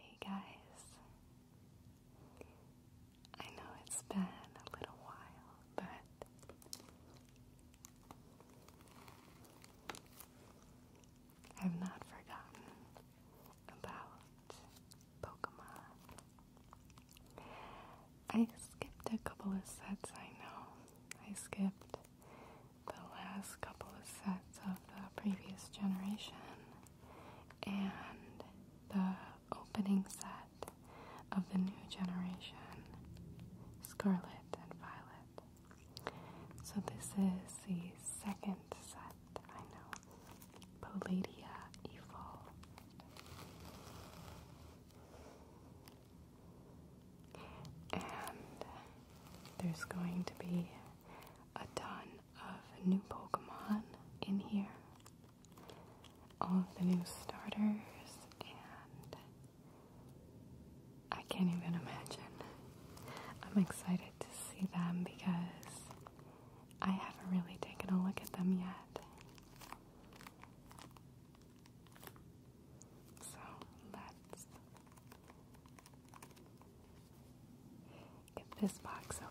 Hey guys, I know it's been a little while, but I've not forgotten about Pokemon. I skipped a couple of sets, I know. I skipped the last couple of sets of the previous generation and the opening set of the new generation, Scarlet and Violet. So, this is the second set, I know, Poladia Evil. And there's going to be a ton of new Pokemon in here. All of the new starters, and I can't even imagine. I'm excited to see them because I haven't really taken a look at them yet. So let's get this box opened.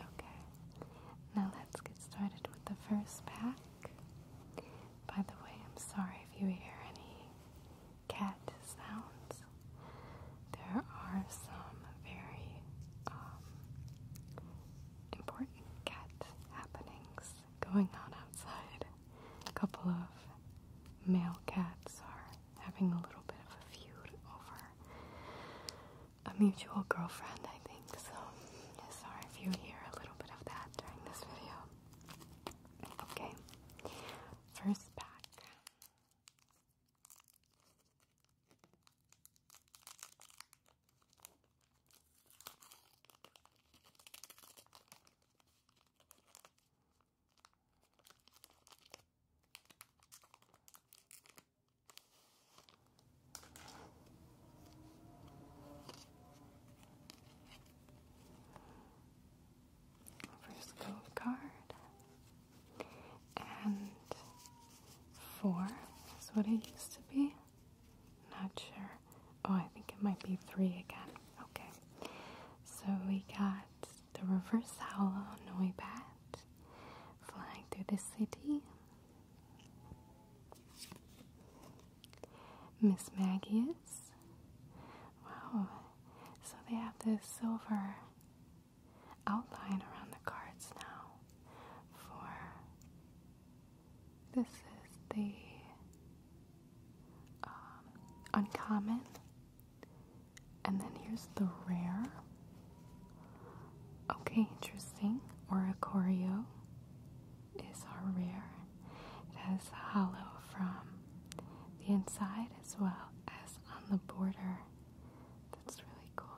Okay, now let's get started with the first pack. By the way, I'm sorry if you hear any cat sounds. There are some very um, important cat happenings going on outside. A couple of male cats are having a little bit of a feud over a mutual girlfriend, I think. So, sorry if you hear a little bit of that during this video. Okay, first pack. First card. And four is what it used to be. Not sure. Oh, I think it might be three again. Okay. So we got the reverse on hollow Bat flying through the city. Miss Maggie is. Wow. So they have this silver outline around the cards now for this is the um, uncommon and then here's the rare Okay, interesting. Oracorio is our rare. It has hollow from the inside as well as on the border. That's really cool.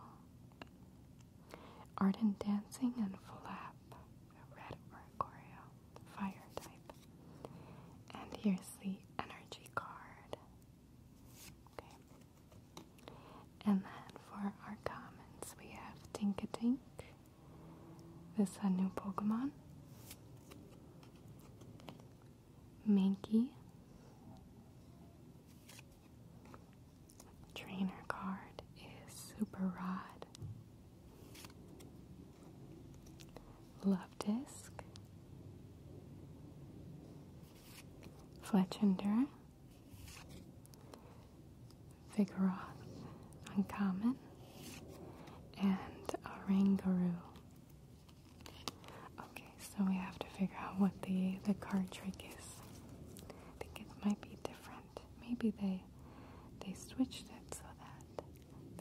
Ardent Dancing and Flap, the red Oricorio, fire type. And here's the energy card. Okay. And then for our commons, we have Tinkatink. This is a new Pokemon. Minky. Trainer card is Super Rod. Love Disc. Fletchender. Vigoroth, uncommon, and a Rangaroo. Okay, so we have to figure out what the, the card trick is. I think it might be different. Maybe they they switched it so that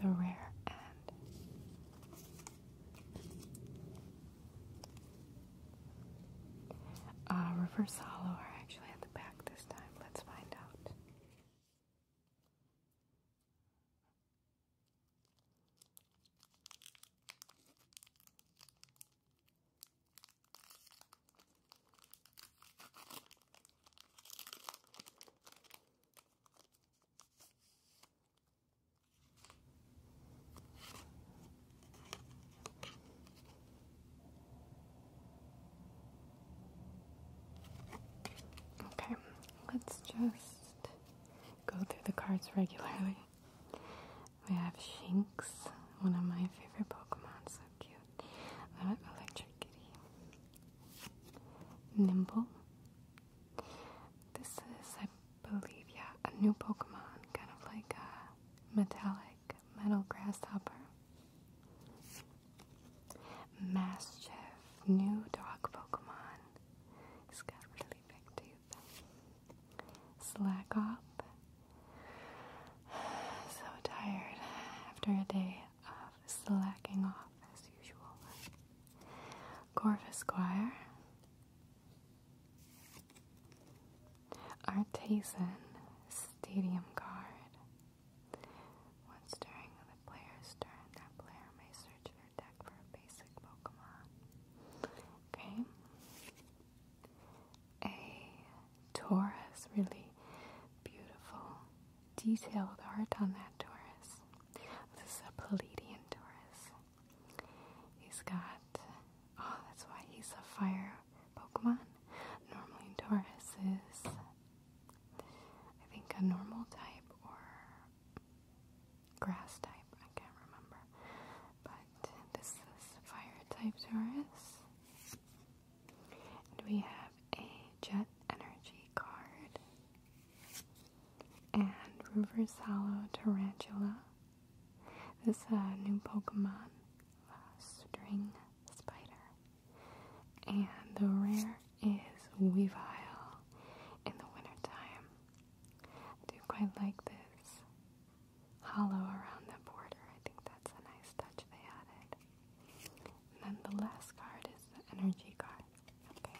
the rare and uh, Reverse Hollow are actually at the back this time. Let's find out. Okay, let's just go through the cards regularly. We have Shinx, one of my favorite Pokemon, so cute. We Nimble. This is, believe, yeah, a new Pokemon, kind of like a metallic metal grasshopper. Mastiff, new dog Pokemon. He's got really big teeth. Slackoff. So tired after a day of slacking off as usual. Corvus Squire. Artisan Stadium Guard. Once during the player's turn, that player may search their deck for a basic Pokemon. Okay. A Taurus, really beautiful, detailed art on that Taurus. This is a Palladian Taurus. He's got. Oh, that's why he's a fire Pokemon. Normally, Taurus is, I think, a normal type or grass type. I can't remember. But this is a fire type Taurus. we have a Jet Energy card. And River's Hollow Tarantula. This uh, new Pokemon, uh, String Spider, and the rare is Weavile in the wintertime. I do quite like this hollow around the border. I think that's a nice touch they added. And then the last card is the energy card. Okay.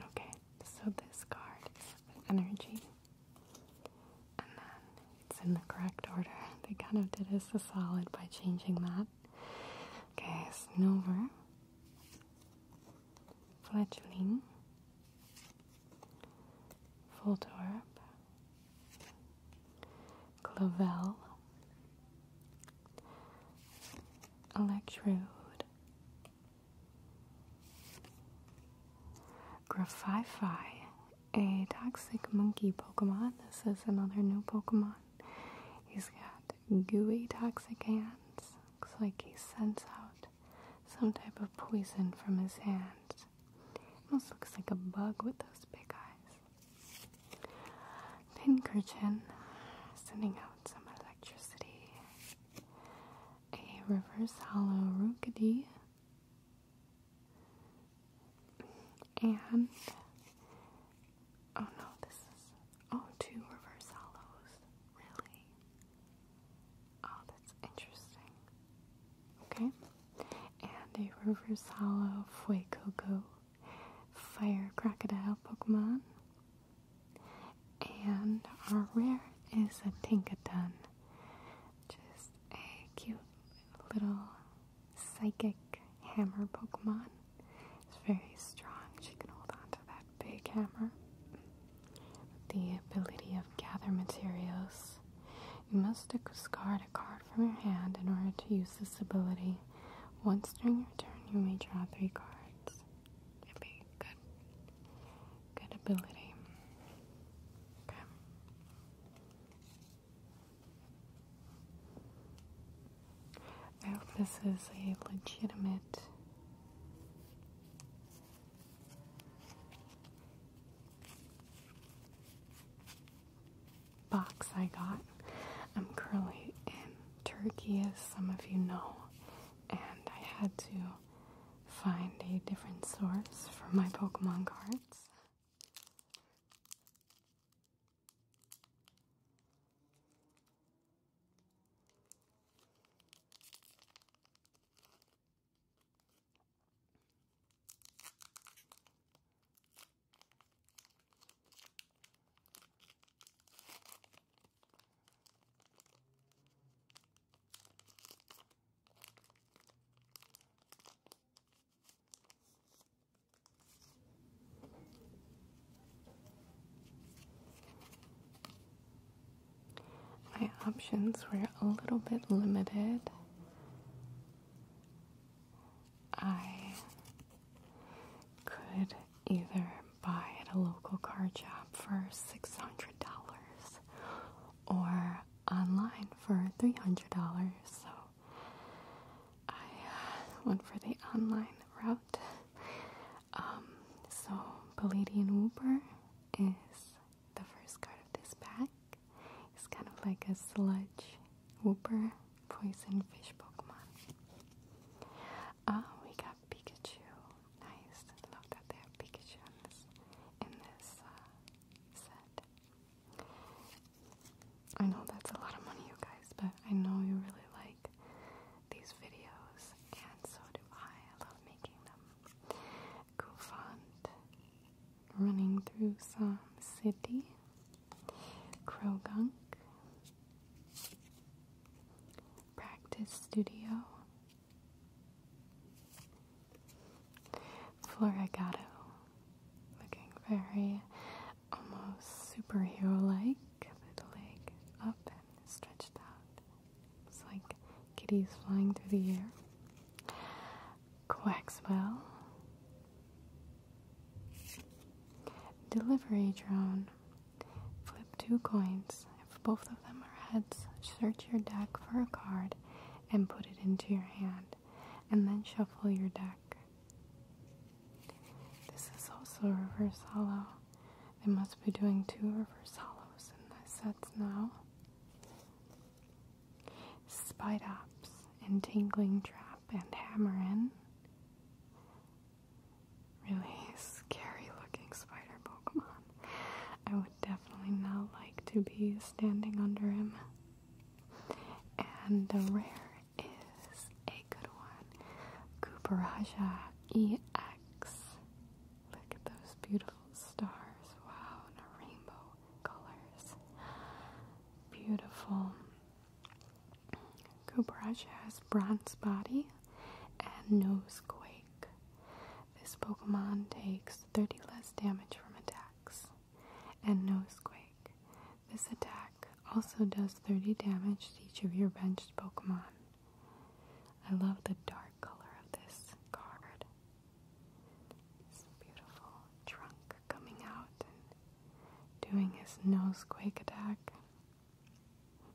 Okay, so this card is the energy. And then it's in the correct order. They kind of did us a solid by changing that. Okay, Snover, Fletchling, Voltorb, Clovel electrode, Grafify, a toxic monkey Pokemon. This is another new Pokemon. He's got gooey toxic hands. Looks like he sends out some type of poison from his hands. Almost looks like a bug with those big eyes. Pinkerton sending out some electricity. A reverse hollow Rookity. And oh no, this is oh two reverse hollows. Really? Oh, that's interesting. Okay. And a reverse hollow Fuecoco fire crocodile Pokemon. And our rare is a Tinkaton. Just a cute little psychic hammer Pokemon. It's very strong. She can hold on to that big hammer. The ability of gather materials. You must discard a card from your hand in order to use this ability. Once during your turn, you may draw three cards. It'd be good, good ability. Okay. I hope this is a legitimate box I got. I'm currently in Turkey, as some of you know, and I had to find a different source for my Pokemon cards. My options were a little bit limited. I could either buy at a local car shop for $600 or online for $300. So I uh, went for the online route. Um, so Palladian Whooper is the first card of this pack. It's kind of like a sludge whooper poison fish Pokemon. Oh, we got Pikachu. Nice. love that they have Pikachu in this, uh, set. I know that's a lot of money, you guys, but I know you really like these videos, and so do I. I love making them. Goofant running through some city. Krogunk, Practice Studio, Florigato, looking very almost superhero like, the leg up and stretched out. It's like kitties flying through the air. Quaxwell, Delivery Drone. Flip two coins. If both of them are heads, search your deck for a card and put it into your hand, and then shuffle your deck. This is also reverse hollow. They must be doing two reverse hollows in the sets now. ops and Tingling Trap and Hammerin really scary looking spider Pokemon. I would definitely not like to be standing under him. And the rare is a good one. Cooperaja EX. Look at those beautiful stars. Wow, rainbow colors. Beautiful. Cooperage has Bronze Body and Nosequake. This Pokemon takes 30 less damage from attacks. And Nosequake. This attack also does 30 damage to each of your benched Pokemon. I love the dark color of this card. This beautiful trunk coming out and doing his Nosequake attack.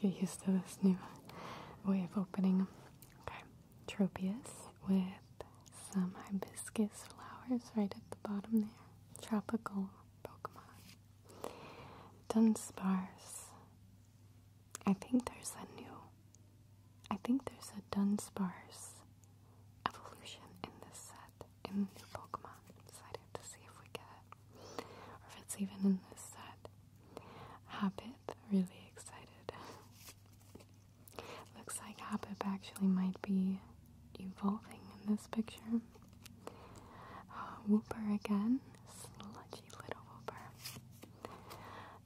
to Get used to this new way of opening Okay, Tropius with some hibiscus flowers right at the bottom there. Tropical Pokemon. Dunspars. I think there's a new. I think there's a Dunspars evolution in this set, in the new Pokemon. So I'd to see if we get it. Or if it's even in this set. Hobbit, really excited. Looks like Hobbit actually might be evolving in this picture. Uh, whooper again, sludgy little whooper.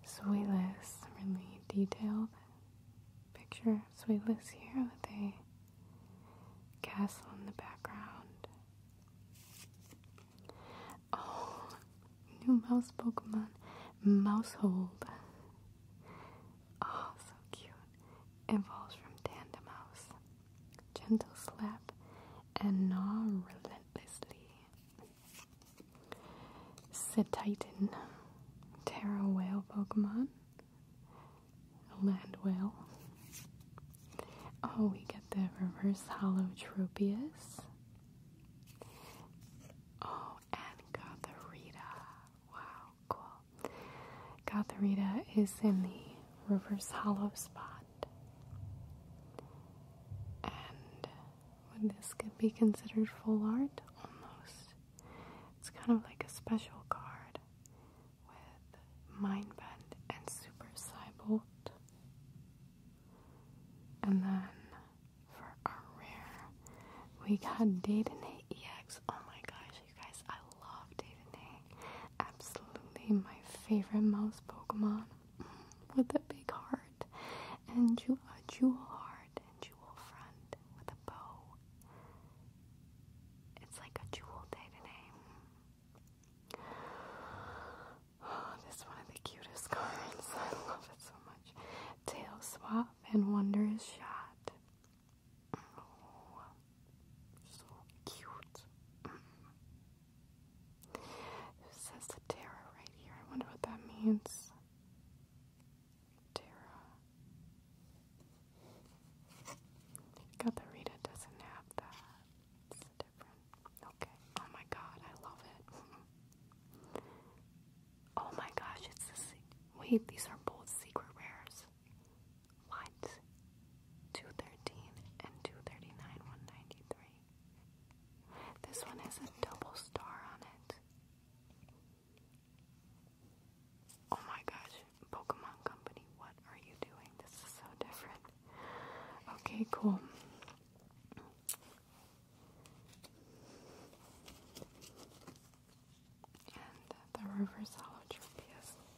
Sweetless, really detailed picture of Sweetless here with a castle in the background. Oh, new mouse Pokemon, Mousehold. Oh, so cute. Evolves from Tandemouse gentle slap, and gnaw relentlessly. Sit Setitan, Terra Whale Pokemon, Land Whale. Oh, we get the reverse holotropius. Oh, and Gotharita. Wow, cool. Gotharita is in the reverse hollow spot. And this could be considered full art? Almost. It's kind of like a special card with Mind Bend and Super Cybolt. And then for our rare, we got Dayton Ex. Oh my gosh, you guys, I love Dayton Absolutely my favorite mouse Pokemon mm, with a big heart and you a jewel heart and jewel front with a bow. It's like a jewel day today. Oh, this is one of the cutest cards. I love it so much. Tail swap and wonder shot. So cute. It says the Terra right here. I wonder what that means. Terra. Got the Rita doesn't have that. It's different. Okay. Oh my god, I love it. oh my gosh, it's the. Wait, these are both secret rares. Lights 213 and 239 193. This one has a double star on it. Oh my gosh, Pokemon Company, what are you doing? This is so different. Okay, cool. And the reverse holo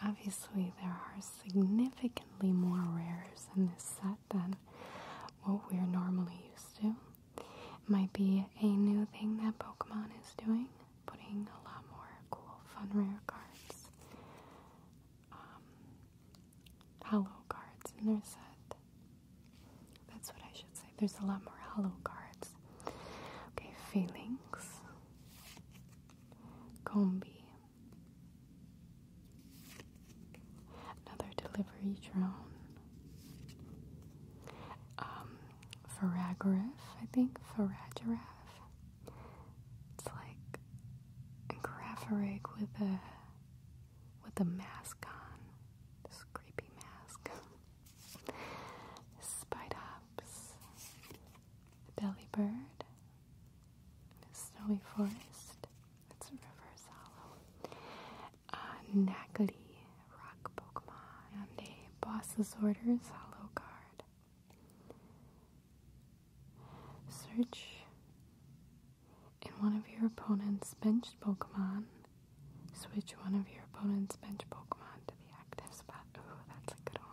Obviously, there are significantly more rares in this set than what we're normally used to. It might be a new thing that Pokemon is doing, putting a lot more cool, fun, rare cards um, hollow cards in their set. That's what I should say. There's a lot more hollow cards. Okay, feelings, combi, another delivery drone, um, Faragiraf, I think, Faragiraf. It's like a with a with a mask on, this creepy mask. Spite Ops, the Belly Bird, the Snowy Forest, it's a Reverse Hollow, uh, Nackley, Rock Pokemon, and a Boss's Orders Hollow Card. Search and one of your opponent's bench Pokemon. Switch one of your opponent's bench Pokemon to the active spot. Ooh, that's a good one.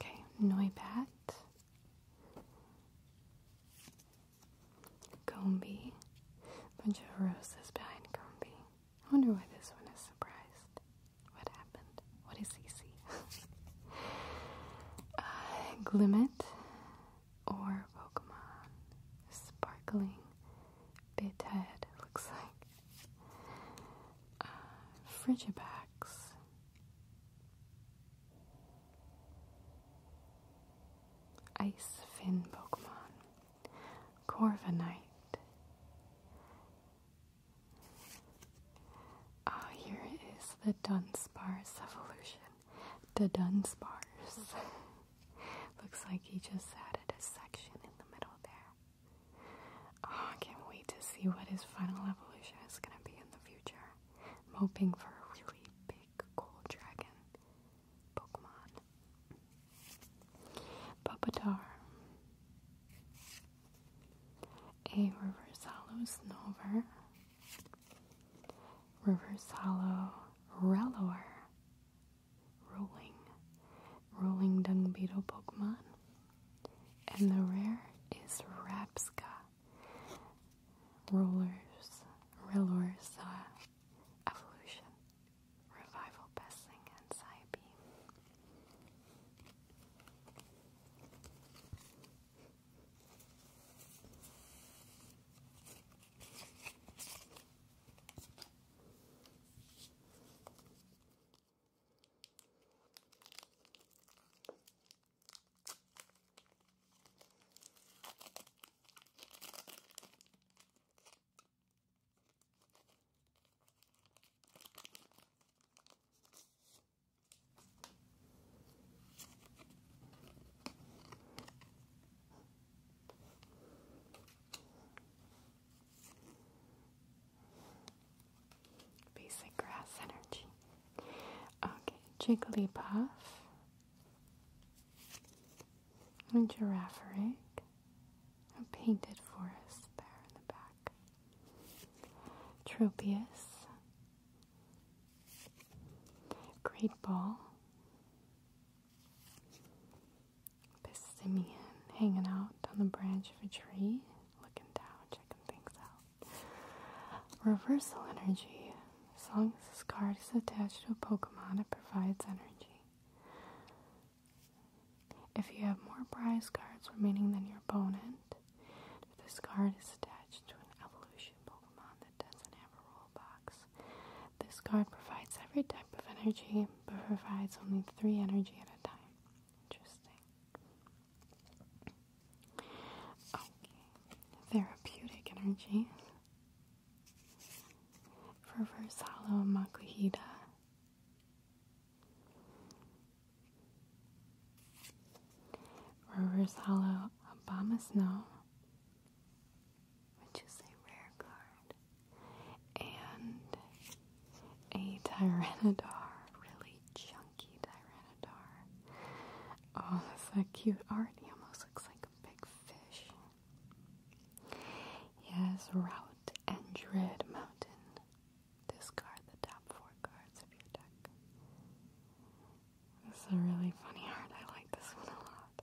Okay, Noibat, Gombe, bunch of roses behind Gombe. I wonder why this one is surprised. What happened? What is CC? uh, Glimmet or Pokemon. Sparkling bit head, looks like. Uh, Frigibax. Ice Fin Pokemon. Corviknight. Ah, here is the Dunsparce evolution. The Dunsparce. Looks like he just added a section in the middle there. Oh, I can't wait to see what his final evolution is going to be in the future. I'm hoping for a really big gold dragon. Pokemon. Pupitar. A Reverse Hollow Snover. Reverse Hollow Relor. Rolling. Rolling Dung Beetle Pokemon. And the rare is Rapska. Rollers, Relor's uh, evolution. Revival best thing and Sayabi. Basic grass energy. Okay, Jigglypuff a giraffe rig, a painted forest there in the back, Tropius, Great Ball, Pistimian hanging out on the branch of a tree, looking down, checking things out. Reversal energy. As long as this card is attached to a Pokemon, it provides energy. If you have more prize cards remaining than your opponent, if this card is attached to an evolution Pokemon that doesn't have a rule box, this card provides every type of energy but provides only three energy at a time. Interesting. Okay, therapeutic energy for Versalo Makuhita. Reversalo Obama Snow, which is a rare card, and a Tyrannodar, really chunky Tyrannodar. Oh, that's a cute already. almost looks like a big fish. Yes, Route and Dread Mountain. Discard the top four cards of your deck. This is a really funny art. I like this one a lot.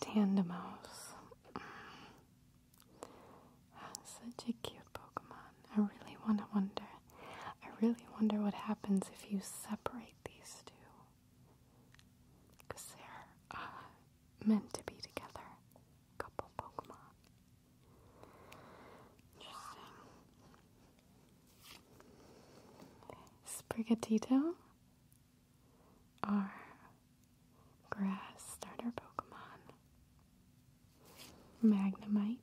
Tandemos. Mm. Such a cute Pokemon. I really want to wonder. I really wonder what happens if you separate these two. Because they're uh, meant to be together. Couple Pokemon. Interesting. Sprigatito our grass starter Pokemon Magnemite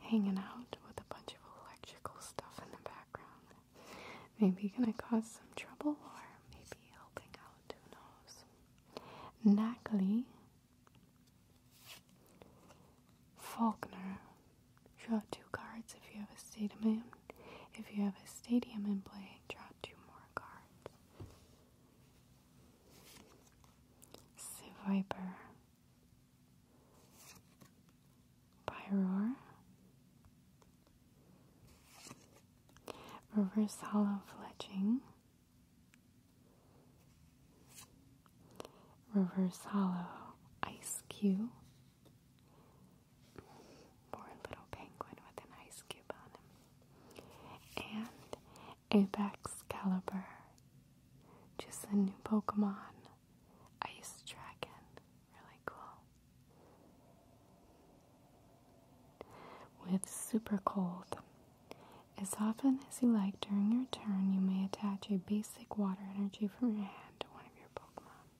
hanging out with a bunch of electrical stuff in the background. Maybe gonna cause some trouble or maybe helping out, who knows. Nackley Faulkner Draw two cards if you have a stadium. If you have a stadium in play, draw two more cards. Viper. Pyroar. Reverse Hollow Fletching. Reverse Hollow Ice Cube. Poor little penguin with an ice cube on him. And Apex Caliber. Just a new Pokemon. Ice Dragon. Really cool. With Super Cold. As often as you like during your turn, you may attach a basic water energy from your hand to one of your Pokemon.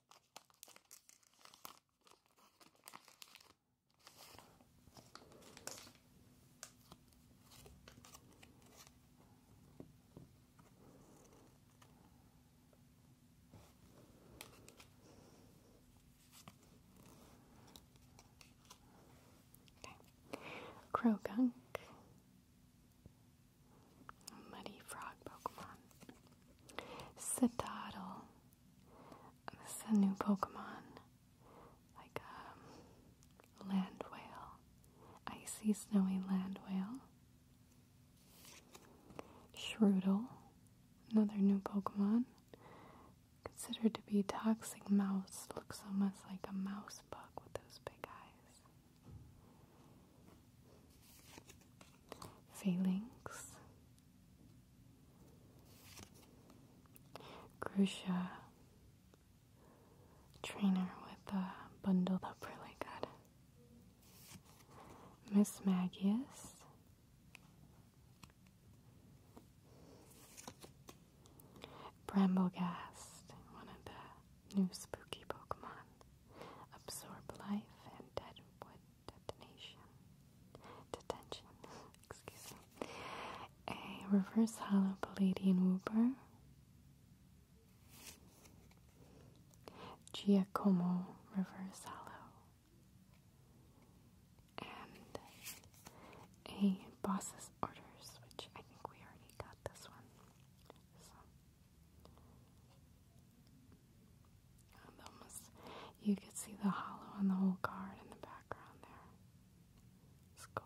Okay. Crow gunk. Muddy frog Pokemon. Citadel. This is a new Pokemon. Like a um, land whale. Icy snowy land whale. Shrudel. Another new Pokemon. Considered to be toxic mouse. Looks almost like a mouse bug with those big eyes. Phalanx, Grusha, trainer with a bundled up really good. Miss Magius. Bramblegast, one of the new spooky Pokemon. Absorb life and dead wood detonation, detention, excuse me, a reverse hollow palladian Uber. Giacomo reverse hollow, and a boss's orders, which I think we already got this one you could see the hollow on the whole card in the background there. It's cool.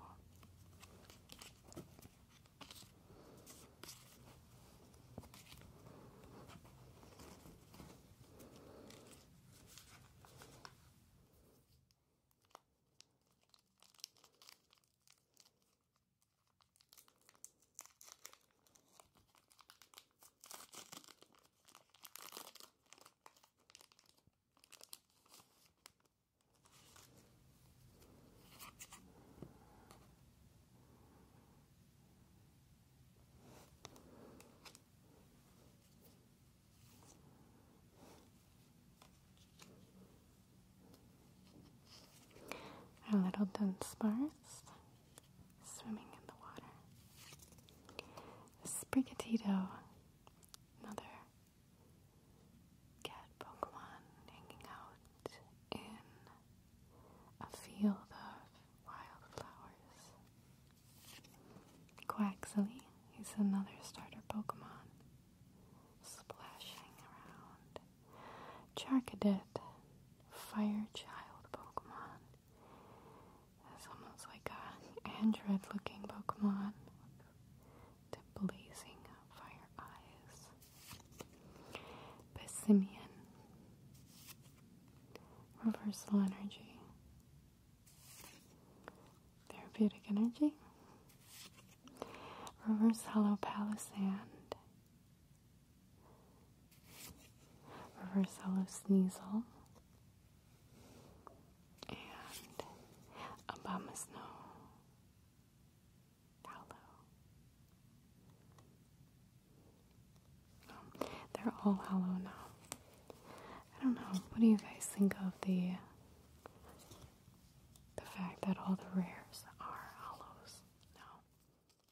A little dunce bars swimming in the water. Sprigatito, another cat Pokemon hanging out in a field of wildflowers. Quaxley, he's another starter Pokemon, splashing around Charcadet, Fire Child Pokemon. That's almost like a android looking Pokemon the blazing fire eyes. Bissimian, Reversal Energy, Therapeutic Energy. Reverse Hollow Palisand, reversal of Sneasel, and Obama Hollow. Um, they're all hollow now. I don't know. What do you guys think of the the fact that all the rares are hollows now?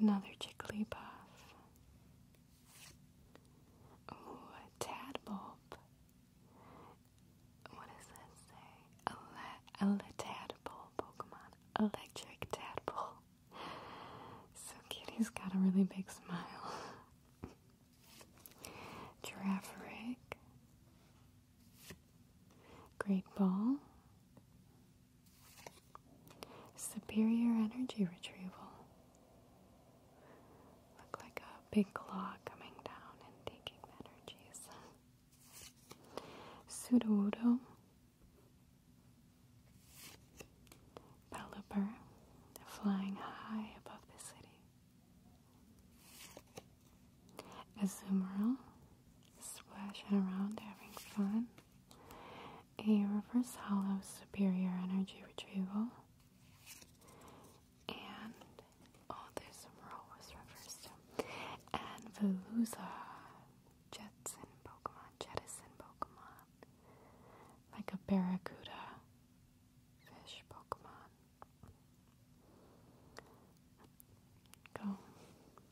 Another Jigglypuff. puff. a Tadbulb. What does that say? A, Tadpole Pokemon. Electric Tadpole. So kitty has got a really big smile. Giraffe Great Ball. Superior energy retrieval. Look like a big claw coming down and taking energies. Sudowoodo. Pelipper, flying high above the city. Azumarill, splashing around having fun a reverse hollow superior energy retrieval, and oh, there's roll was reversed, and Veluza, Jetson Pokemon, Jettison Pokemon, like a Barracuda fish Pokemon. Go.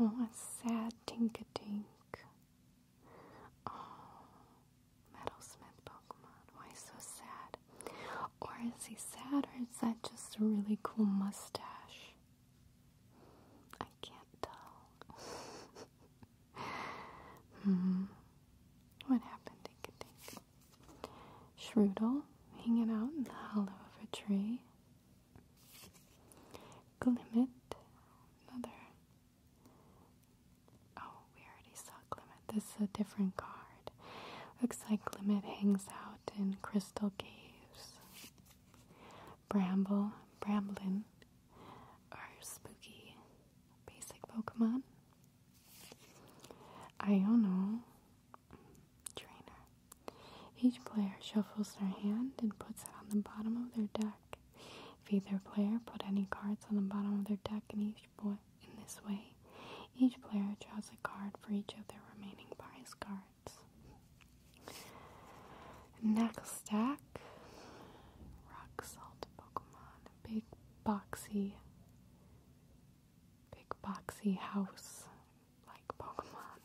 Oh, a sad tink a tink. Oh, Metalsmith Pokemon. Why so sad? Or is he sad, or is that just a really cool mustache? I can't tell. hmm. What happened, Tinka Tink? Shrudel hanging out in the hollow of a tree. Glimmet, another. Oh, we already saw Glimmet. This is a different card. Looks like Glimmet hangs out in crystal caves. Bramble, Bramblin our spooky basic Pokemon. Iono Trainer. Each player shuffles their hand and puts it on the bottom of their deck. If either player put any cards on the bottom of their deck in this way, each player draws a card for each of their remaining prize cards. Next stack Rock Salt Pokemon big boxy big boxy house like Pokemon.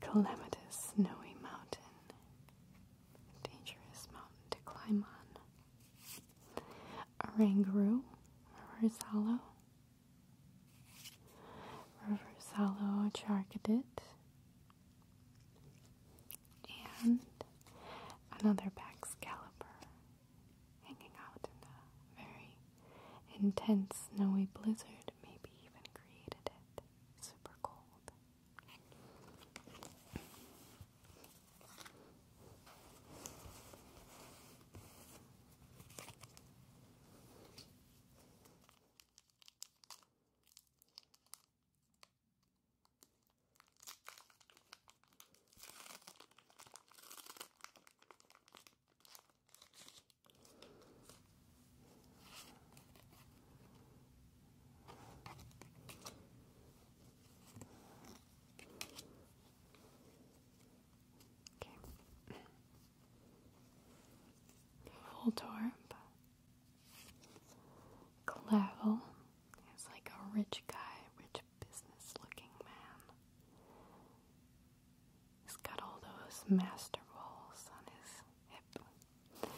Calamitous snowy mountain. Dangerous mountain to climb on. Aranguru, River Hollow. River and another Baxcalibur hanging out in a very intense snowy blizzard, maybe even created it super cold. Full her Clavel is like a rich guy, rich business looking man. He's got all those master balls on his hip.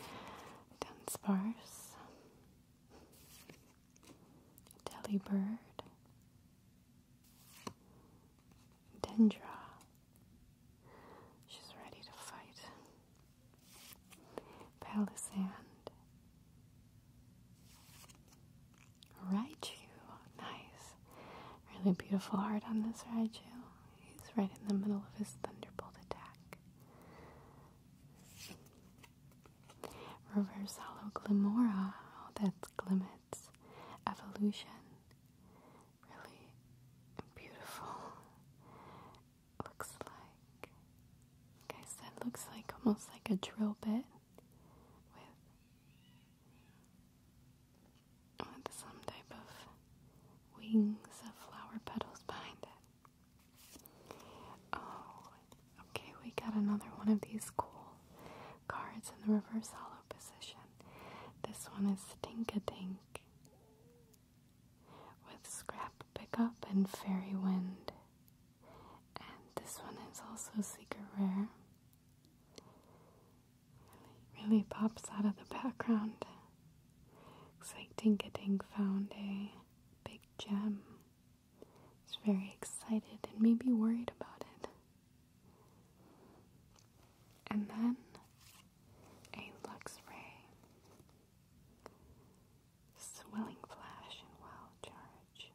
Dunsparce, Delibird, Dendra. She's ready to fight. Palisand. Raichu. Nice. Really beautiful art on this Raichu. He's right in the middle of his thunderbolt attack. Reverse Hollow Glimora. Oh, that's glimmers, evolution. Really beautiful looks like, like I said, looks like almost like a drill bit with, some type of wings of flower petals behind it. Oh, okay, we got another one of these cool cards in the reverse hollow position. This one is Tink a Tink with Scrap Pickup and Fairy Wind. And this one is also Secret Rare. Really, pops out of the background. Looks Exciting getting found a big gem. He's very excited and maybe worried about it. And then a Lux Ray, swelling flash and wild charge.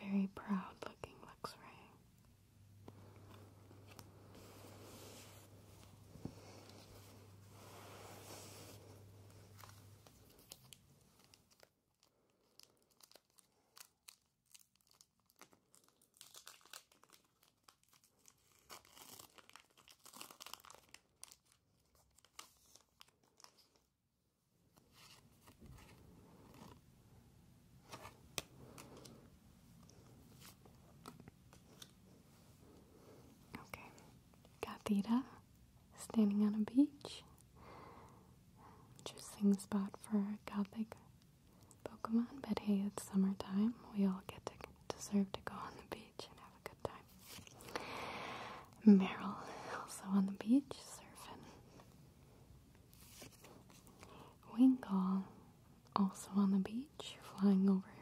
Very proud looking Lux Okay, Gathita standing on a beach. Interesting spot for a gothic Pokemon, but hey, it's summertime. We all get to deserve to go on the beach and have a good time. Meryl also on the beach surfing. Winkle also on the beach flying over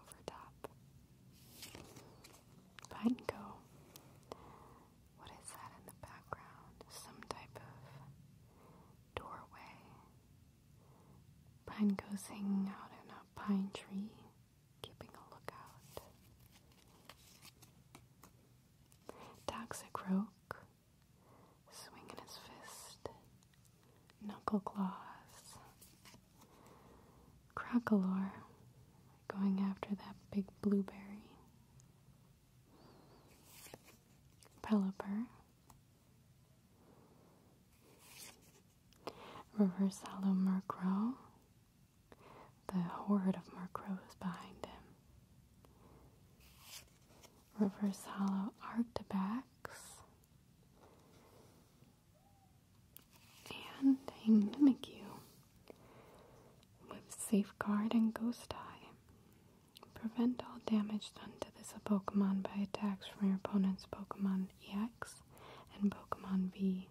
over top. Pineco. What is that in the background? Some type of doorway. Pine goes hanging out in a pine tree, keeping a lookout. Toxic a swinging his fist, knuckle claws. Krakalor going after that big blueberry. Pelipper, Reverse hollow Murkrow. The horde of Murkrows behind him. Reverse hollow Arctabax. And a Mimikyu with Safeguard and Ghost Eye. Prevent all damage done to this Pokemon by attacks from your opponent's Pokemon EX and Pokemon V.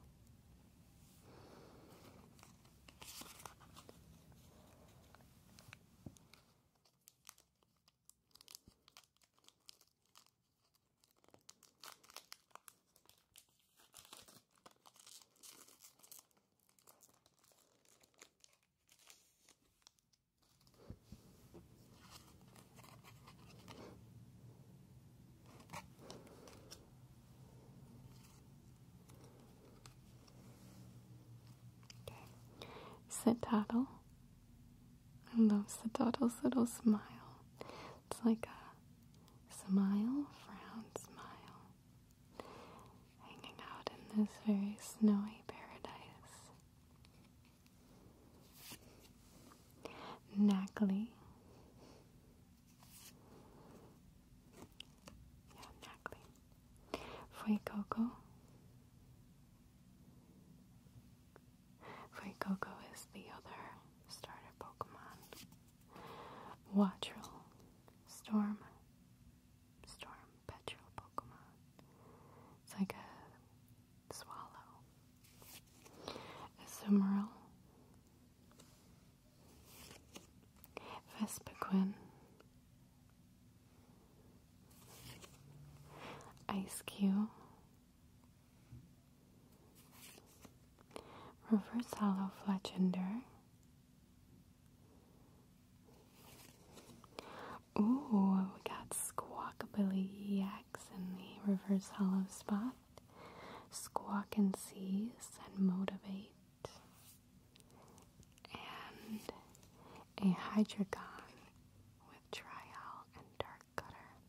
Okay. Sit-toddle. I love sit little smile. It's like a smile, frown, smile. Hanging out in this very snowy paradise. Knackly. Yeah, Knackly. Fue Coco. is the other starter Pokemon. Watchrill. Storm. Storm Petrol Pokemon. It's like a swallow. Azumarill, Vespiquen, Ice Cube, Reverse Hollow Fletchender. Ooh, we got squawkabilly yaks in the reverse hollow spot, squawk and seize and motivate, and a hydragon with trial and dark cutter.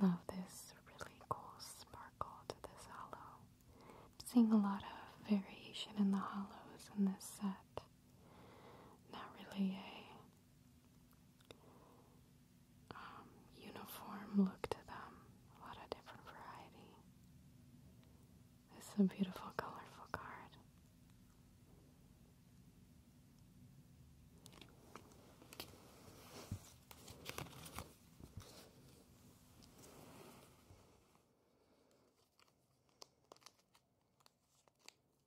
Love this really cool sparkle to this hollow. I'm seeing a lot of variation in the hollows in this set not really a um, uniform look to them, a lot of different variety. This a beautiful, colorful card.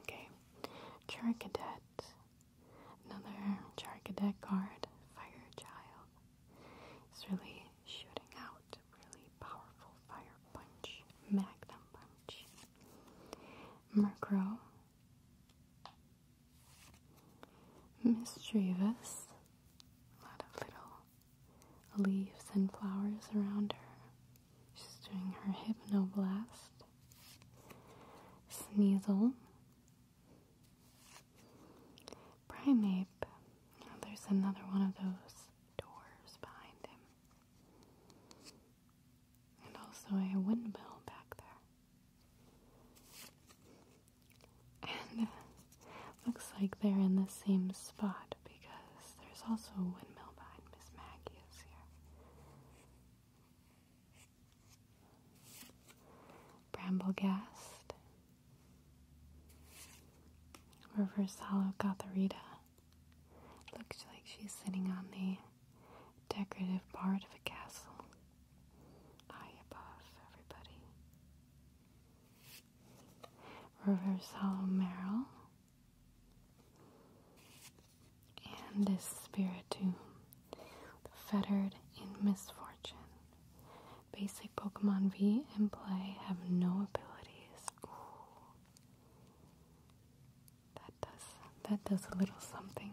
Okay, Characadet. Another Characadet card, Fire Child. It's really shooting out really powerful fire punch, magnum punch. Murkrow. Mischievous. A lot of little leaves and flowers around her. She's doing her hypnoblast. Sneasel. Primeape. Oh, there's another one of those doors behind him. And also a windmill back there. And uh, looks like they're in the same spot because there's also a windmill behind Miss Maggie ideas here. Bramblegast, Reverse Hollow Gotharita. Looks like she's sitting on the decorative part of a castle. High above everybody. Reverse Hollow Merrill and this spirit too, the fettered in misfortune. Basic Pokemon V and play have no abilities. That does that does a little something.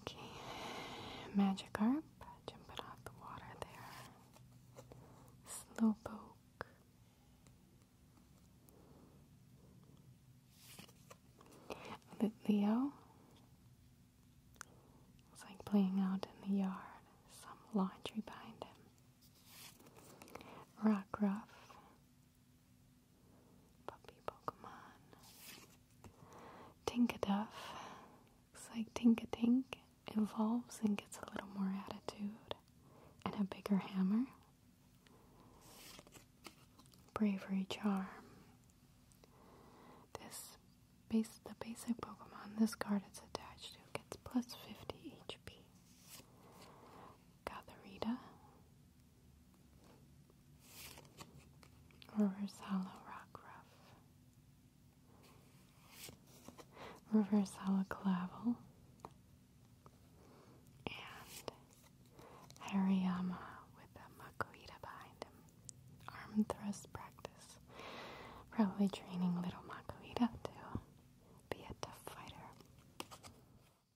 Okay, Magikarp, jumping off the water there. Slowpoke. Leo. It's like playing out in the yard. Some laundry behind him. Rockruff. Puppy Pokemon. Tinkaduff. Looks like Tinkatink evolves and gets a little more attitude and a bigger hammer. Bravery Charm. This base the basic Pokemon this card it's attached to gets plus 50 HP. Gatherita. Rivers Hollow Rock rough. Rivers Hollow Clavel, and Hariyama with a Makuhita behind him. Arm thrust practice. Probably training little Makuhita to be a tough fighter.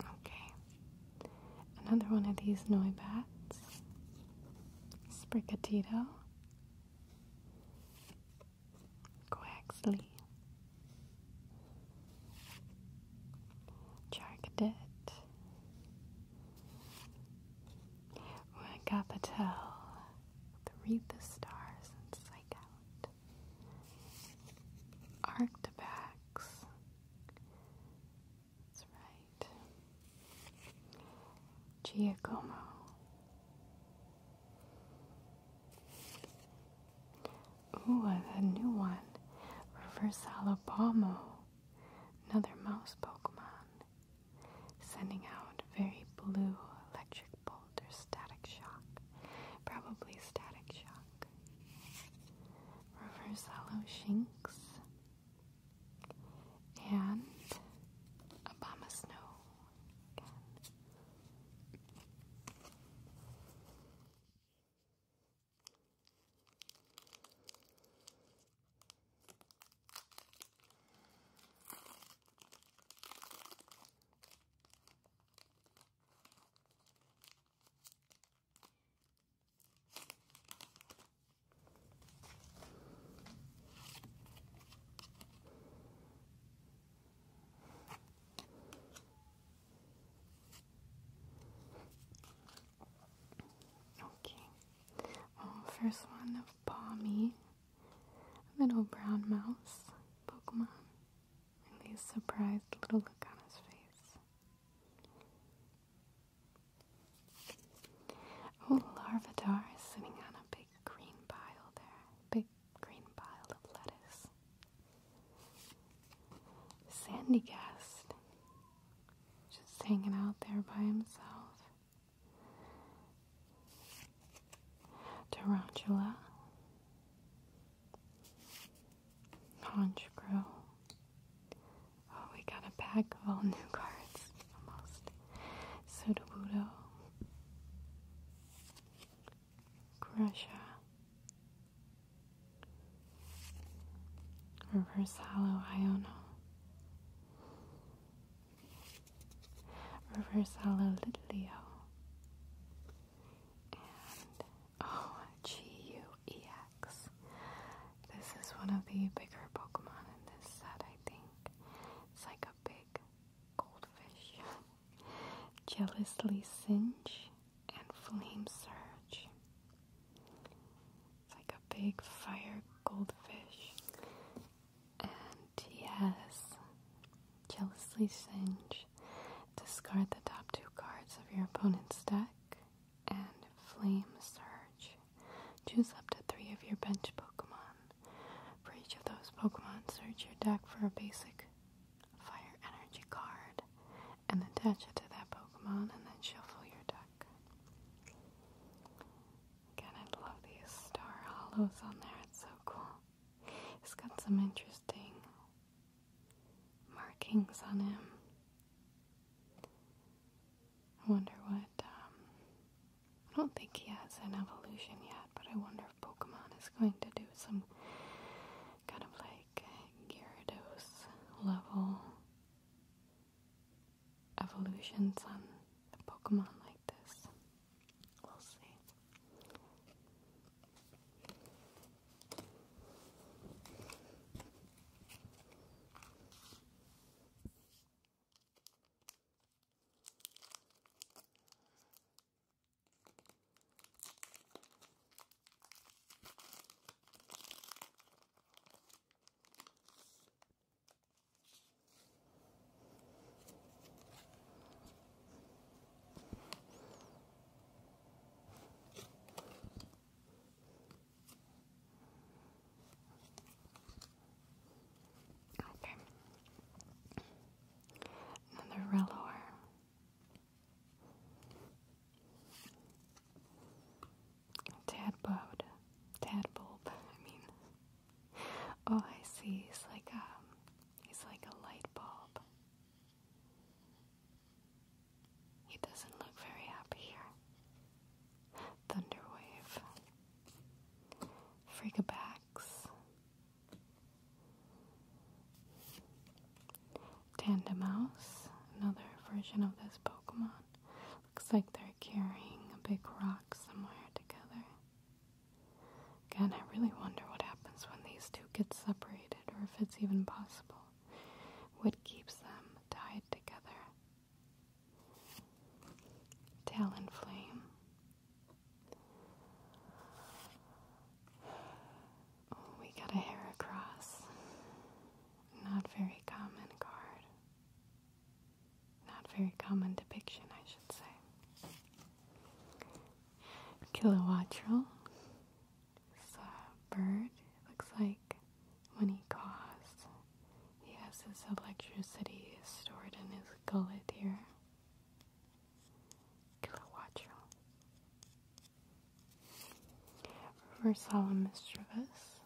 Okay. Another one of these noibats. bats. Quaxley. Charcadet. Wakapatel. The Read the Stars and Psych Out. Arctobax. That's right. Giacomo. Ooh, a new one. Reverse Alabamo. Another mouse Pokemon. Sending out very blue electric balls static shock. Probably static shock. Reverse shinks. And Obama Snow Okay. Well, um, first one of Palmy, a little brown mouse Pokemon and the surprised little look on his face. Oh, Larvidar is sitting on a big green pile there, big green pile of lettuce. Sandy Guest, just hanging out there by himself. Tarantula, Honchkrow. Oh, we got a pack of all new cards almost. Sudobudo, Grusha, Reverse Hollow Iono, Reverse Hollow Litleo and oh, This is one of the bigger Pokemon in this set, I think. It's like a big goldfish. Jealously Singe and Flame Surge. It's like a big fire goldfish. Yes. Jealously Singe. Discard the top two cards of your opponent's deck and Flame Surge. Choose up to three of your bench Pokemon. For each of those Pokemon, search your deck for a basic Fire Energy card and attach it to that Pokemon and then shuffle your deck. Again, I love these star hollows on there, it's so cool. He's got some interesting markings on him. wonder what. Um, I don't think he has an evolution yet, but I wonder if Pokemon is going to do some kind of like Gyarados level evolutions on Pokemon like this. We'll see. Okay. Another rellower. Tad bulb. Tad bulb, I mean. Oh, I see. It's like a um, He's like a light bulb. He doesn't look very happy here. Thunderwave. Freakabacks. Mouse. another version of this Pokemon. Looks like they're carrying a big rock somewhere together. Again, I really wonder what happens when these two get separated, or if it's even possible. What keeps them tied together? Talonflame. flame. Oh, we got a hair across. Not very common card. Not very common depiction, I should say. Kilowatrel. bird. looks like when he coughs, he has his electricity stored in his gullet here. Kilowatrel. Versala mischievous.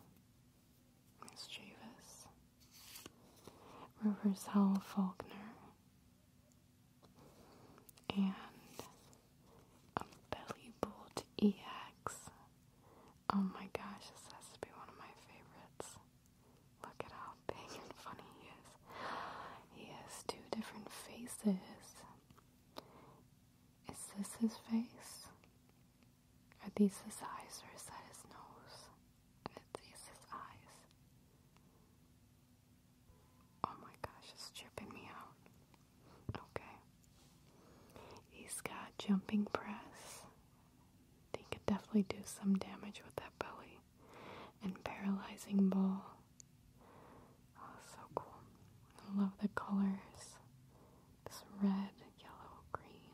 Mischievous. River's Howell Faulkner, and a belly bolt EX. Oh my gosh, this has to be one of my favorites. Look at how big and funny he is. He has two different faces. Is this his face? Are these his eyes or is that his nose? it's these his eyes. Oh my gosh, it's tripping me out. Okay. He's got jumping press. He could definitely do some damage with that belly. And paralyzing ball. Oh, so cool. I love the colors. This red, yellow, green.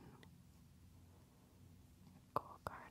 Cool card.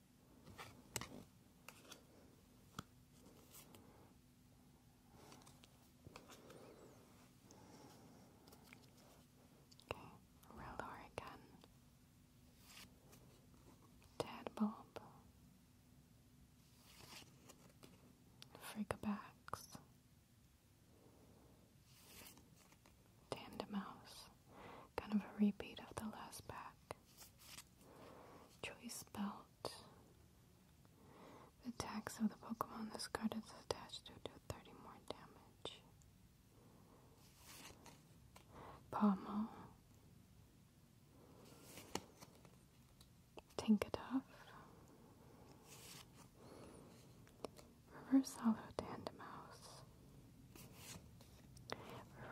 Okay, Roller again. Tad Bob. Freakabacks. Tandem Mouse. Kind of a repeat of the last pack. Choice Belt. attacks of the Pokemon this card is attached to do 30 more damage. Pommel. Tinkaduff. Reverse Hollow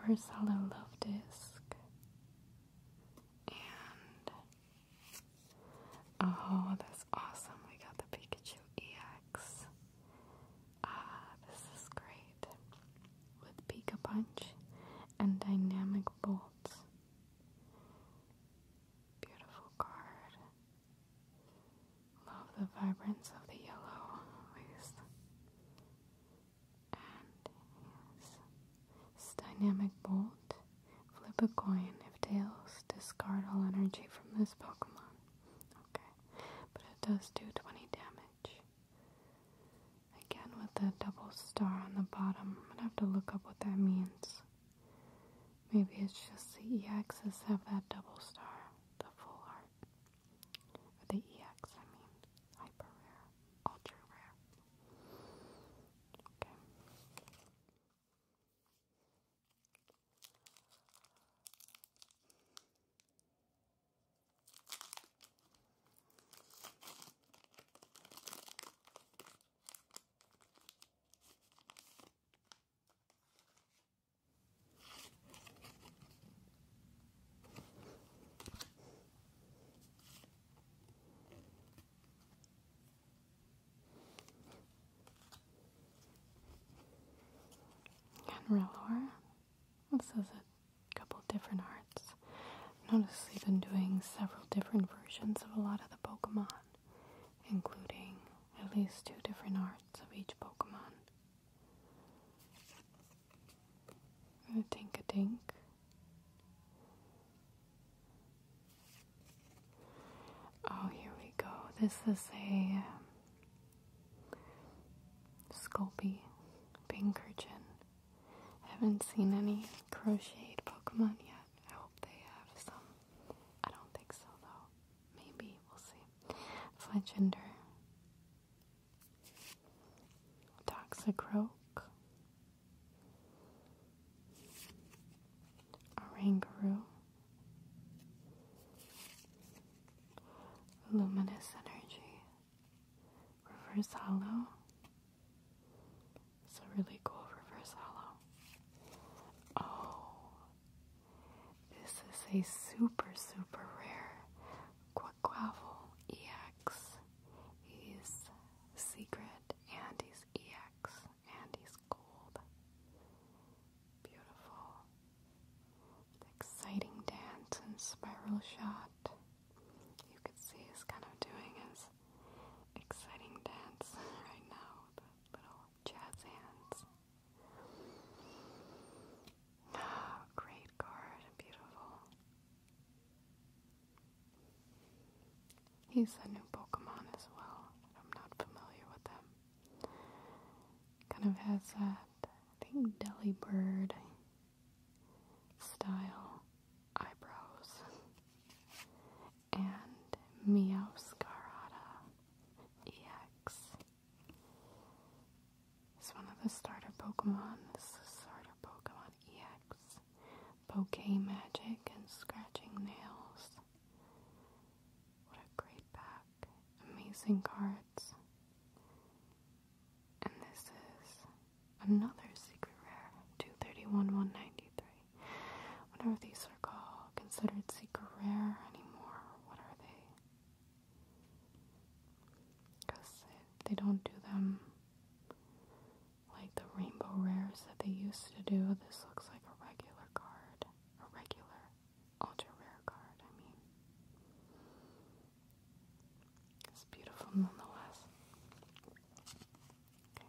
Reverse hollow love disc oh that's awesome we got the Pikachu EX ah this is great with Pika Punch and Dynamic Bolts. beautiful card love the vibrance of the yellow always and his dynamic bolt. Flip a coin. If tails, discard all energy from this Pokemon. Okay. But it does do 20 damage. Again with the double star on the bottom. i am gonna have to look up what that means. Maybe it's just the EXs have that double star, the full art. The EX, I mean. Hyper rare. Ultra rare. Okay. And Rellor. This is a couple different arts. Notice they've been doing several different versions of a lot of the Pokemon, including at least two different arts of each Pokemon think a dink. Oh, here we go. This is a um, Sculpey Pinkerton. haven't seen any crocheted Pokemon yet. I hope they have some. I don't think so, though. Maybe. We'll see. Fletchender a Orangaroo, Luminous Energy, Reverse Hollow. It's really cool reverse hollow. Oh, this is a super, super rare Quackquavel EX. He's secret and he's EX and he's gold. Beautiful. Exciting dance and spiral shot. You could see he's kind of doing his exciting dance right now little jazz hands. Great card, beautiful. He's a new Pokemon as well. I'm not familiar with him. Kind of has that, I think, Delibird style eyebrows. And Meowscarada EX. It's one of the starter Pokemon. This is starter Pokemon EX. Bouquet Magic and Scratching Nails. What a great pack. Amazing cards. And this is another secret rare, 231-193. Whatever these are called, considered secret rare anymore. What are they? because they don't do them like the rainbow rares that they used to do. This looks like a regular card, a regular ultra rare card. I mean, it's beautiful nonetheless. Okay.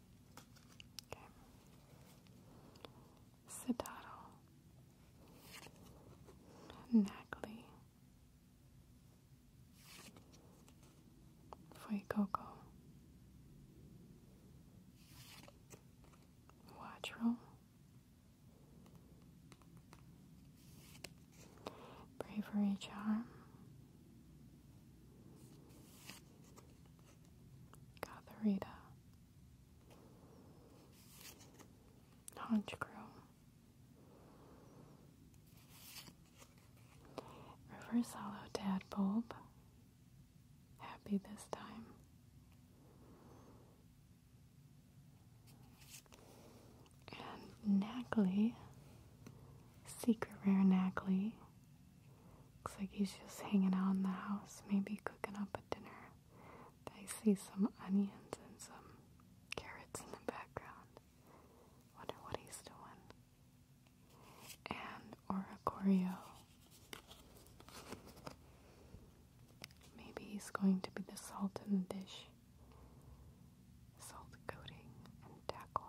Okay. Sedaddle. Nackley. Fuecoco. Bravery Charm. Gatherita, Honchcrow. Reverse hollow Happy this time. And Nackley, secret rare Nackley, Looks like he's just hanging out in the house, maybe cooking up a dinner. I see some onions and some carrots in the background. Wonder what he's doing. And oracorio. Maybe he's going to be the salt in the dish. Salt coating and tackle.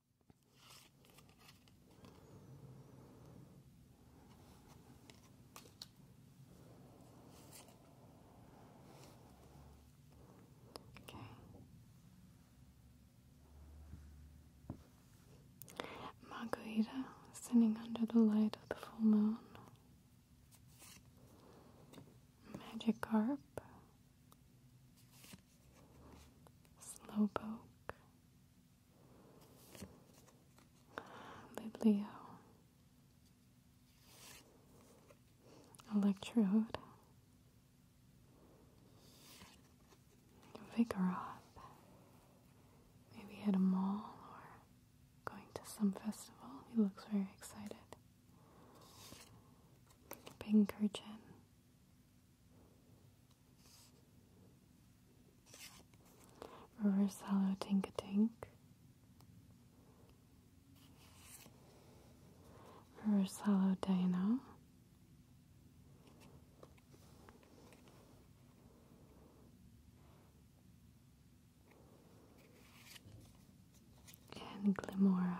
Okay. Margarita sitting under the light of the full moon. Magic carp. Slowpoke, Liblio, Electrode, Vigoroth. Maybe at a mall or going to some festival. He looks very excited. Pinkerton, Reverse hollow tink a tink. Reverse hollow dino. And Glimora.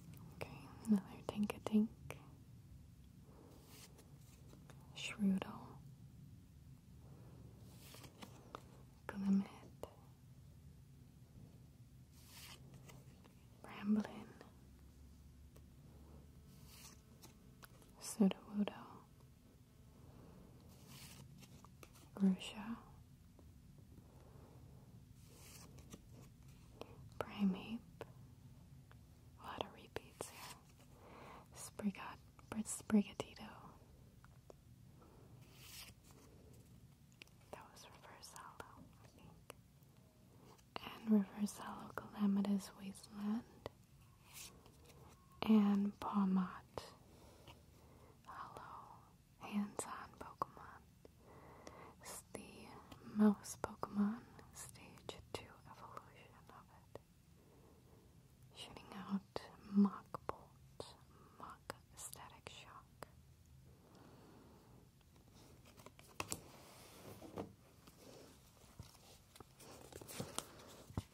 Okay, another Tinkatink. Shroodle. Glimmet. Bramblin. Sudowoodo. Russia, Primeape, a lot of repeats here, Sprigat, Sprigatito, that was reverse hollow, I think, and reverse hollow calamitous wasteland and Palmot. Hollow hands-on Pokemon. the mouse Pokemon stage 2 evolution of it. Shooting out Mock Bolt, Static Shock.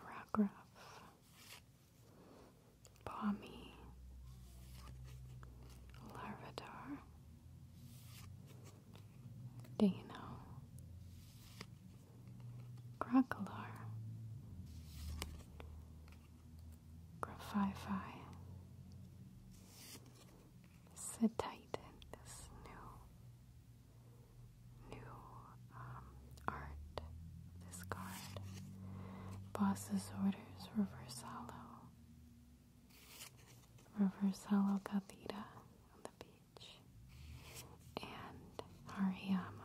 Ragraf, Palmy, Larvitar, Dano, Crocolar, Graphii. Sit tight in this new, new um, art. This card. Boss's orders. Reverse halo. Reverse halo. Kavita on the beach. And Hariyama.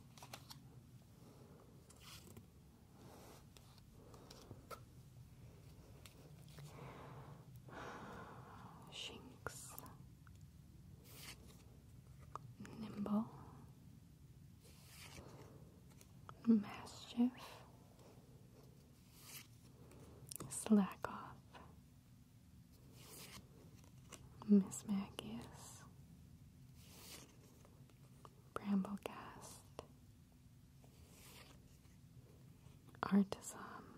Shinx, Nimble, Mastiff, Slack Off, Miss Magius, Bramblecast, Artisan,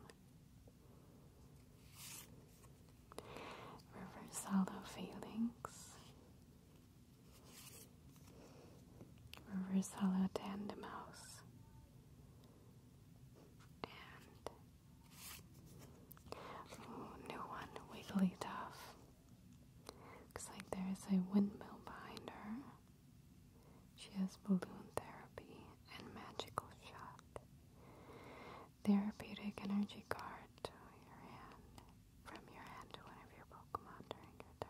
Reverse Hollow Phalanx, Reverse Hollow Tandem new one, Wigglytuff. Looks like there is a windmill behind her. She has balloon therapy and magical shot. Therapeutic energy card From your hand to one of your Pokemon during your turn.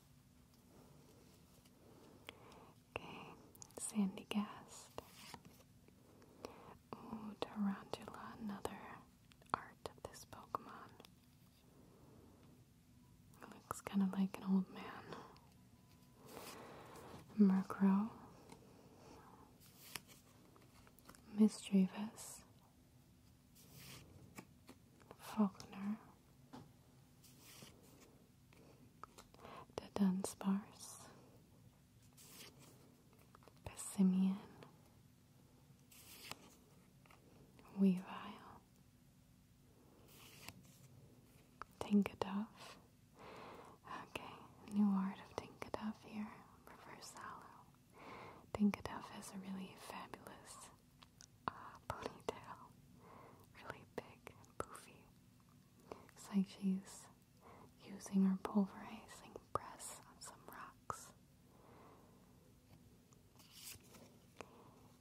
Okay, Sandy Gast. Ooh, Tarantula, another art of this Pokemon. looks kind of like an old man. Murkrow. Mischievous. Faulkner the Dunsparce, Pessimian, Weavile, Tinkaduff. Okay, new art of Tinkaduff here. Reverse hollow. Tinkaduff has a really fabulous uh, ponytail, really big and poofy. It's like she's using her pulverizing press on some rocks.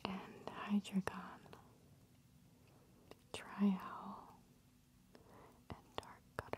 And Hydreigon, Trihowl, and Dark Cutter.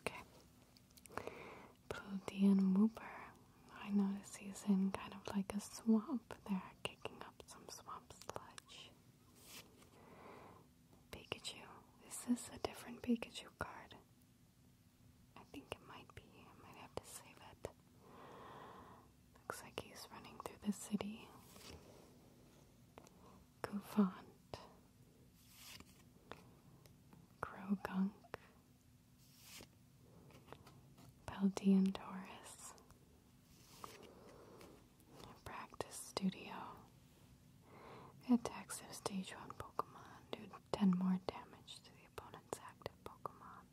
Okay. Protean Wooper. I notice he's in kind of like a swamp there, kicking up some swamp sludge. Pikachu. Is this a different Pikachu card? I think it might be. I might have to save it. Looks like he's running through the city. Goofant. Grogunk. Chaldean Doris. Practice Studio. Add active stage 1 Pokemon. Do 10 more damage to the opponent's active Pokemon.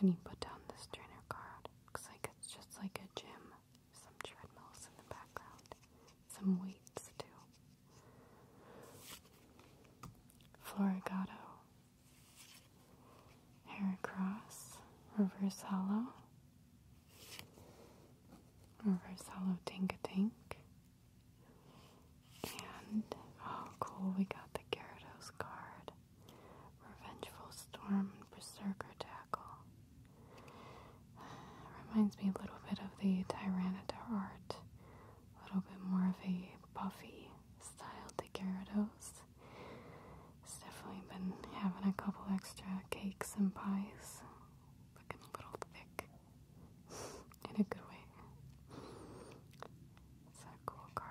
When you put down this trainer card, looks like it's just like a gym. Some treadmills in the background some weights too. Florigato, Heracross, Reverse Hollow, Reverse Hollow Tink a Tink, and oh cool, we got the Gyarados card, Revengeful Storm, Berserker Tackle. Reminds me a little bit of the Tyranitar art a little bit more of a puffy style to Gyarados. It's definitely been having a couple extra cakes and pies. Looking a little thick. In a good way. It's a cool card.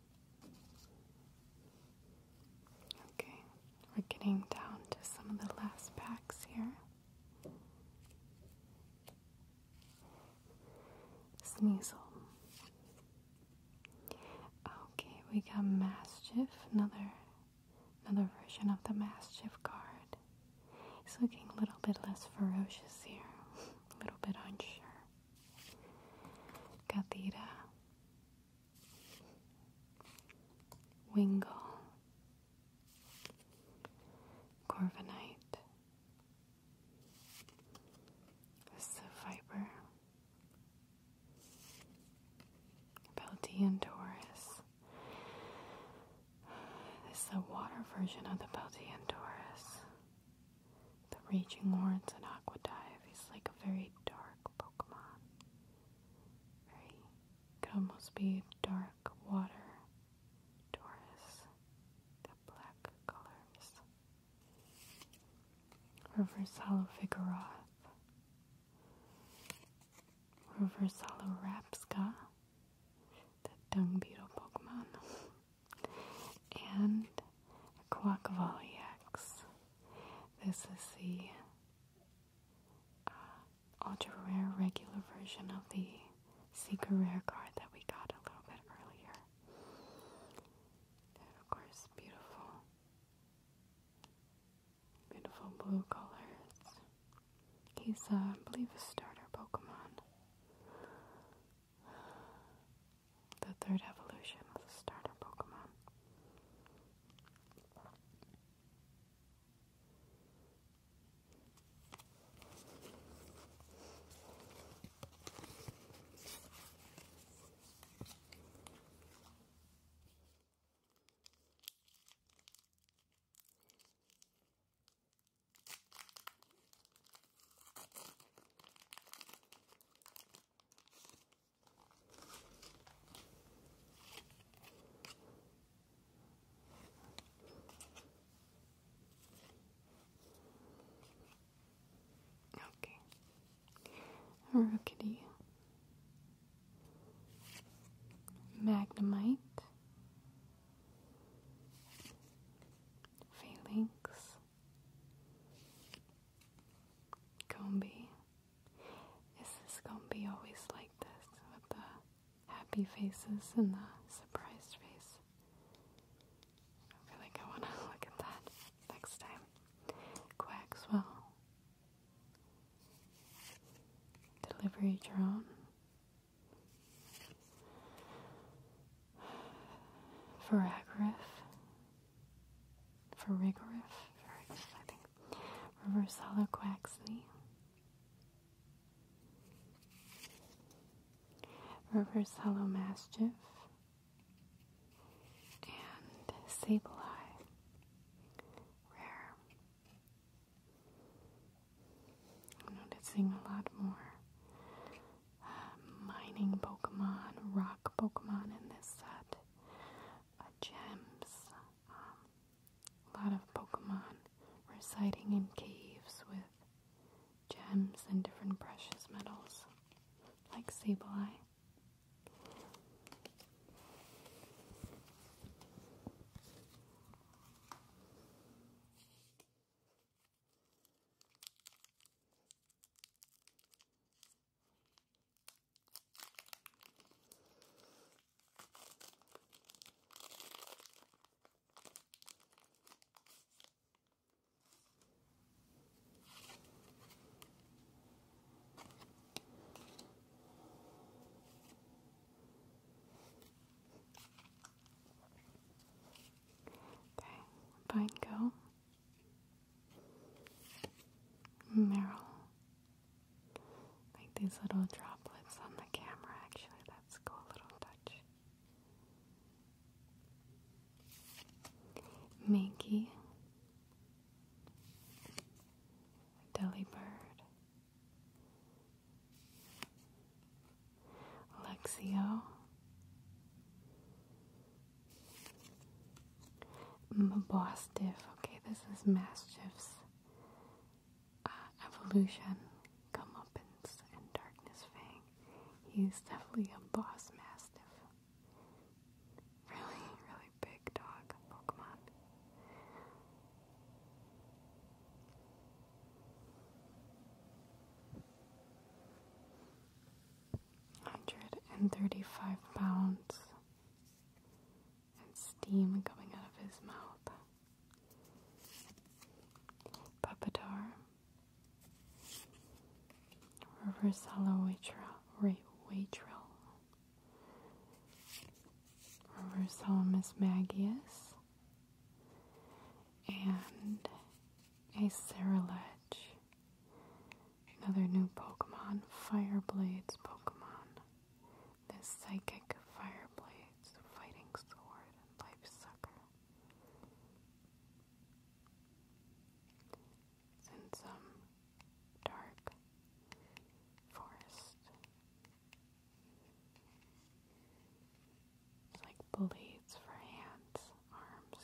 Okay, we're getting down to some of the last packs here. Sneasel. Okay, we got Mastiff, another another version of the Mastiff card. He's looking a little bit less ferocious here, a little bit unsure. Kathira, Wingle, Corviknight, Saphiber, Peltian Doris. This is the water version of the Peltian Doris. The Raging Lawrence and Aqua Dive is like a very dark Pokemon. Very could almost be dark water Doris. The black colors. Reverse Hollow Vigoroth. Reverse Hollow Rapska. The dung beetle Pokemon. and a Quackvoliax. This is the uh, ultra rare regular version of the Seeker Rare card that we got a little bit earlier. of course, beautiful, beautiful blue colors. He's, uh, I believe, a starter Pokemon. The third evolution of a starter Pokemon. Okay. Rookity. Magnemite. Phalanx. Gombi. Is this Gombi always like this with the happy faces and the surprised face? I feel like I want to look at that next time. Quackswell. Delivery drone. Veragriff, Virigrif, Virigrif, reverse hollow quaxley, reverse hollow mastiff, and sable eye, rare. I'm noticing a lot more mining Pokemon, rock Pokemon in this set, gems, a um, lot of Pokemon residing in caves with gems and different precious metals, like Sableye. Okay, fine, go. Meryl. Like these little droplets on the camera, actually. That's a cool little touch. Minky. Delibird. Lexio. Boss diff. Okay, this is Mastiff's uh, evolution. Comeuppance and Darkness Fang. He's definitely a boss mastiff. Really, really big dog Pokemon. 135 pounds, and steam coming out of his mouth. Puppetar, Reversala Waitrel, Waitrel, Reversalamus Magius, and a Cerulege Another new Pokemon, Fireblade's Pokemon. This Psychic Fireblade's Fighting Sword and Life Sucker. Since um dark forest. like blades for hands, arms.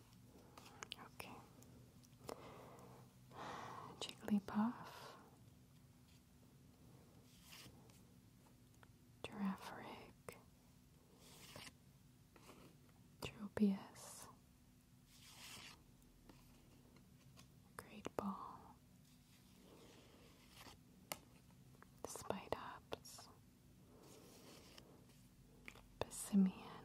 Okay. Jigglypuff. Giraffe Tropius. Great Ball. Spite Pessimian,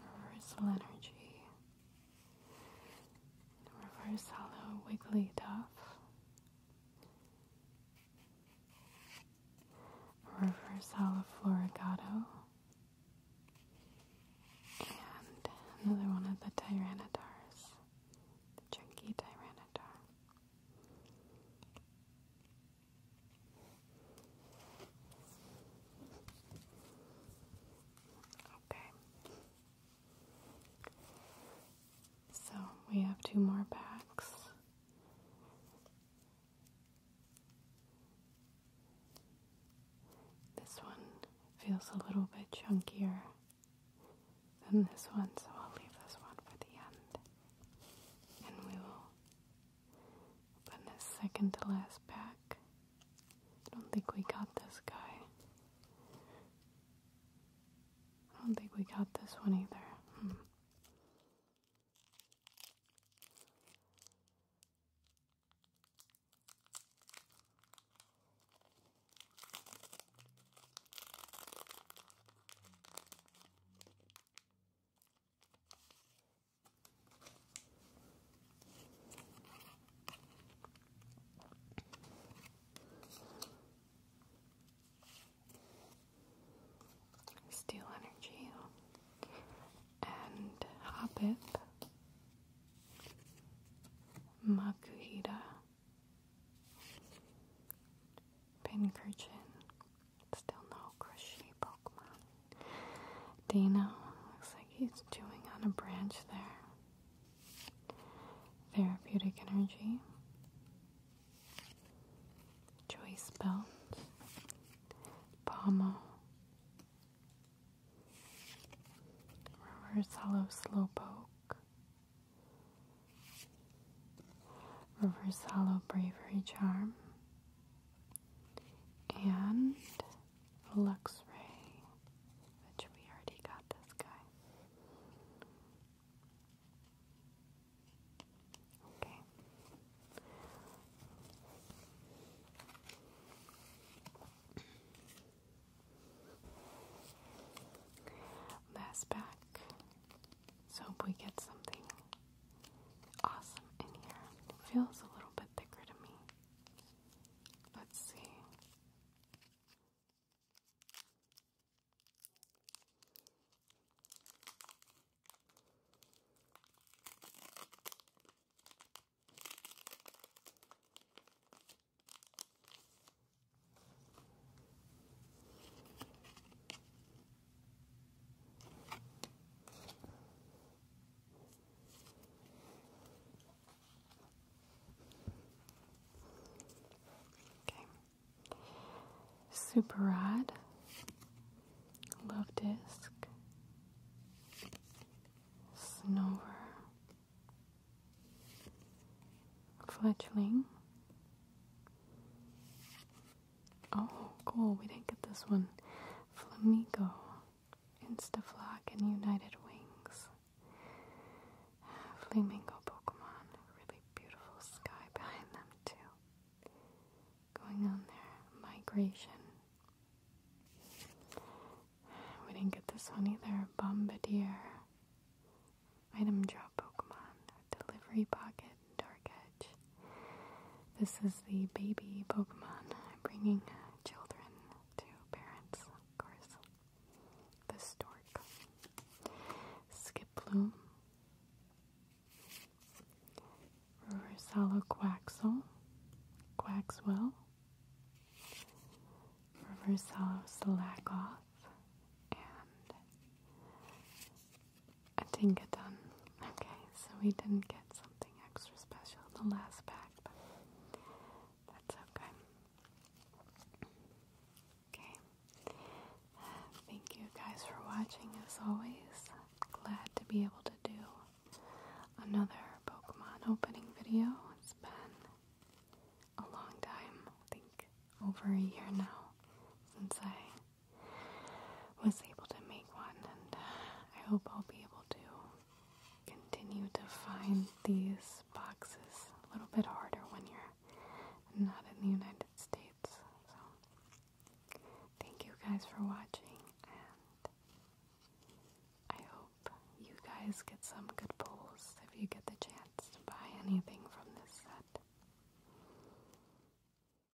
Reversal Energy, Reverse Hollow Wigglytuff, Reverse Hollow Florigato, and another one of the Tyrannotars, the Chunky Tyranitar. Okay. So we have two more packs. This one feels a little bit chunkier than this one, so I'll leave this one for the end. And we will in his second to last pack, I don't think we got this guy. I don't think we got this one either. Hmm. Steel Energy and Hobbit Makuhita Pinkerton. Still no crochet Pokemon. Dino looks like he's chewing on a branch there. Therapeutic energy. Choice belt. Pommel. Reverse hollow slowpoke. Reverse hollow bravery charm and Luxray, which we already got this guy. Okay. Last pack so us we get something awesome in here. feels a little bit thicker to me. Let's see. Okay. Super Rod. Love Disc. Snover. Fletchling. Oh, cool. We didn't get this one. Flamigo, Instaflock, and United Wings. Flamingo Pokemon. Really beautiful sky behind them, too. Going on there. Migration. We didn't get this one either. Bombardier. Item drop Pokemon. Delivery Pocket. Dark Edge. This is the baby Pokemon bringing children to parents, of course. The Stork. Skiploom. Reversalo Quaxel. Quaxwell. Reversalo Salakoth. And I didn't get done. Okay, so we didn't get something extra special in the last pack, but that's okay. Okay. Uh, thank you guys for watching as always. Glad to be able to do another Pokemon opening video. It's been a long time, I think over a year now since I was able to make one, and I hope I'll be able to continue to find these boxes a little bit harder when you're not in the United States. So, thank you guys for watching, and I hope you guys get some good pulls if you get the chance to buy anything from this set.